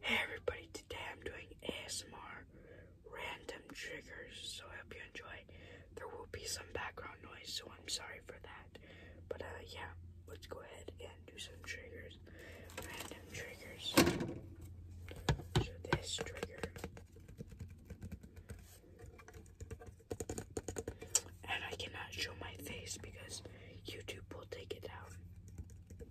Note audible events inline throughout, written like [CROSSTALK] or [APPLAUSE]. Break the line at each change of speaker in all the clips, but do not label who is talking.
Hey everybody, today I'm doing ASMR random triggers, so I hope you enjoy. There will be some background noise, so I'm sorry for that. But uh, yeah, let's go ahead and do some triggers. Random triggers. this trigger. And I cannot show my face because YouTube will take it down.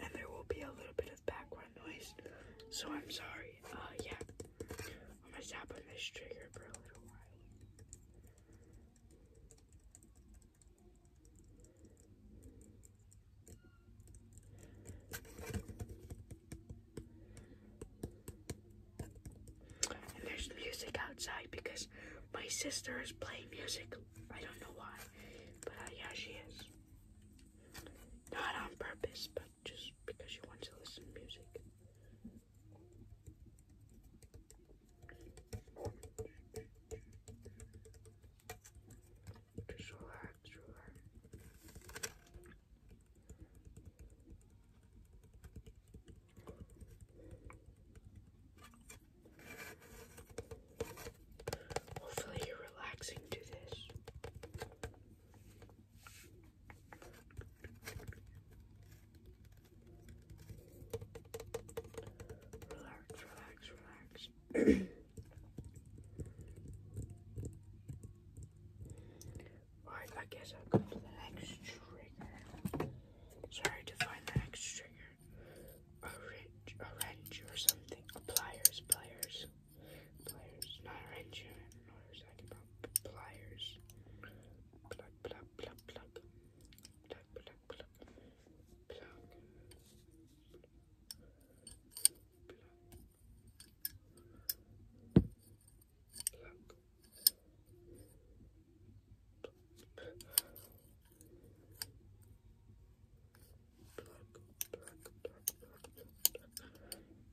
And there will be a little bit of background noise, so I'm sorry. Uh, yeah, I'm gonna tap on this trigger for a little while. And there's music outside because my sister is playing music. I don't know why, but uh, yeah, she is. Not on purpose, but just because she wants to listen to music. Just relax, relax. Hopefully, you're relaxing to this. Relax, relax, relax. [CLEARS THROAT] Alright, I guess I'll go to the next trigger. Sorry to find the next trigger. A wrench, a wrench or something. pliers, pliers. Pliers, not a wrench. not know what Pliers. Plug, plug, plug, plug. Plug, plug, plug. Plug. Plug.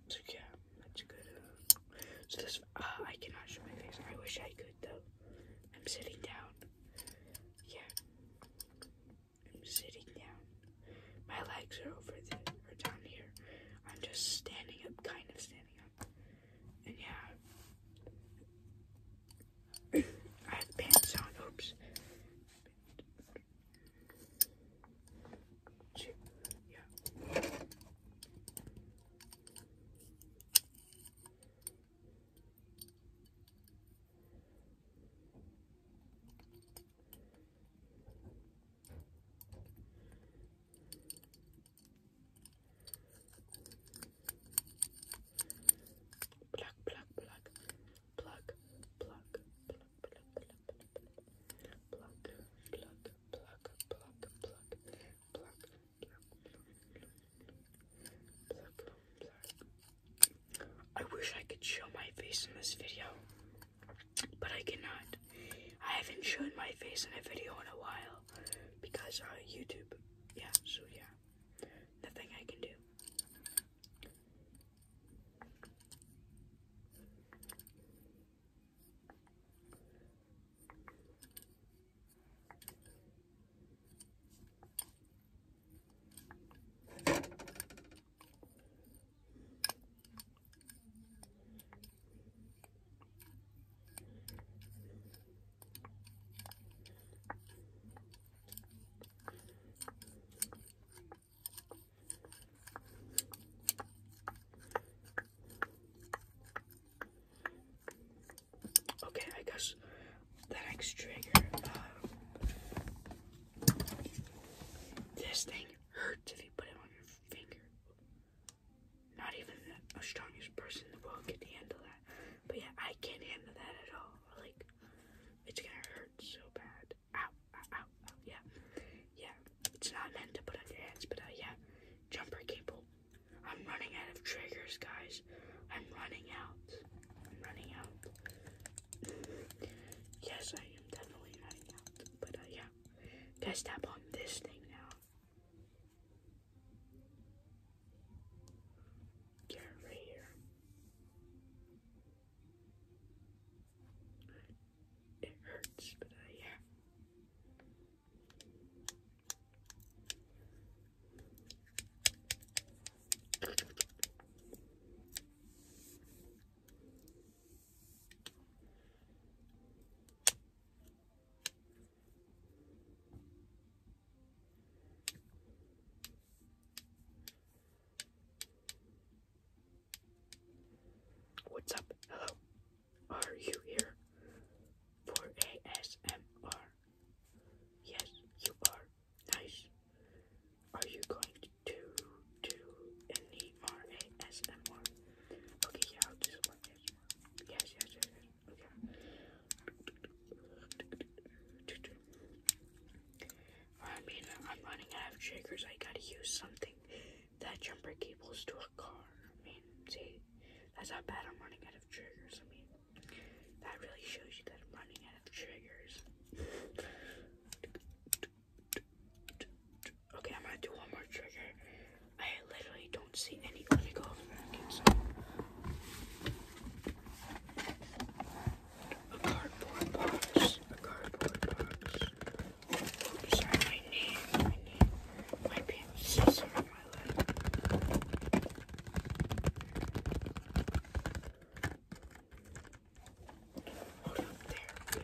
So yeah, that's good. so this, uh, I cannot show my face. I wish I could though. I'm sitting down. Yeah, I'm sitting down. My legs are over there, or down here. I'm just standing up, kind of standing. And yeah, [COUGHS] I have pants on. Oops. Yeah. Pluck, pluck, pluck, pluck, pluck, pluck, pluck, pluck, pluck, pluck, pluck, pluck, pluck, pluck, I wish I could show my face in this video, but I cannot. I haven't shown my face in a video in a while because uh, YouTube. Yeah, so yeah, nothing I can do. Okay, I guess the next trigger. Uh, this thing hurts if you put it on your finger. Not even the strongest person in the world can handle that. But yeah, I can't handle that at all. Like, it's gonna hurt so bad. Ow, ow, ow, ow. Yeah, yeah. It's not meant to put on your hands, but uh, yeah. Jumper cable. I'm running out of triggers, guys. I'm running out. I'm running out. yes, I am definitely running out. But uh, yeah, guys, tap on this thing now. Yeah, right here. It hurts, but I uh, yeah. What's up? Hello. Are you here for ASMR? Yes, you are. Nice. Are you going to do any more Okay, yeah, ASMR. Yes, yes, yes, yes. Okay. I mean, I'm running out of triggers. I gotta use something. That jumper cables to a car. I mean, see, that's how bad I'm running out of triggers. I mean, that really shows you that I'm running out of triggers. Okay, I'm gonna do one more trigger. I literally don't see any clinical Americans. A cardboard box. A cardboard box. Oops, sorry, my knee. My knee. My pants. Sorry, my leg. Hold there. Okay, okay.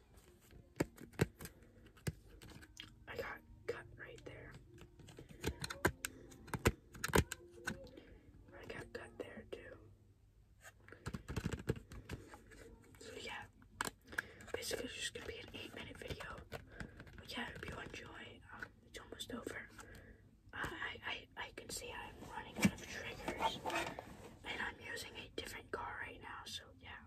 I got cut right there. I got cut there too. So yeah, basically just gonna be an eight minute video. yeah, I hope you enjoy. Um, it's almost over. I I I can see I'm running out of triggers, and I'm using a different car right now. So yeah,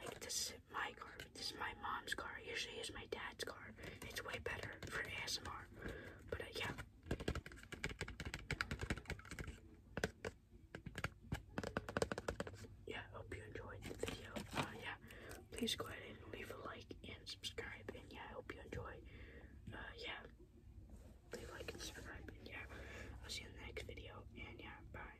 like this my car, this is my mom's car. Usually it's my dad's car. It's way better for ASMR. But uh, yeah. Yeah, hope you enjoyed the video. Uh, yeah, please go ahead and leave a like and subscribe. And yeah, I hope you enjoy. Uh, yeah, leave like and subscribe. And yeah, I'll see you in the next video. And yeah, bye.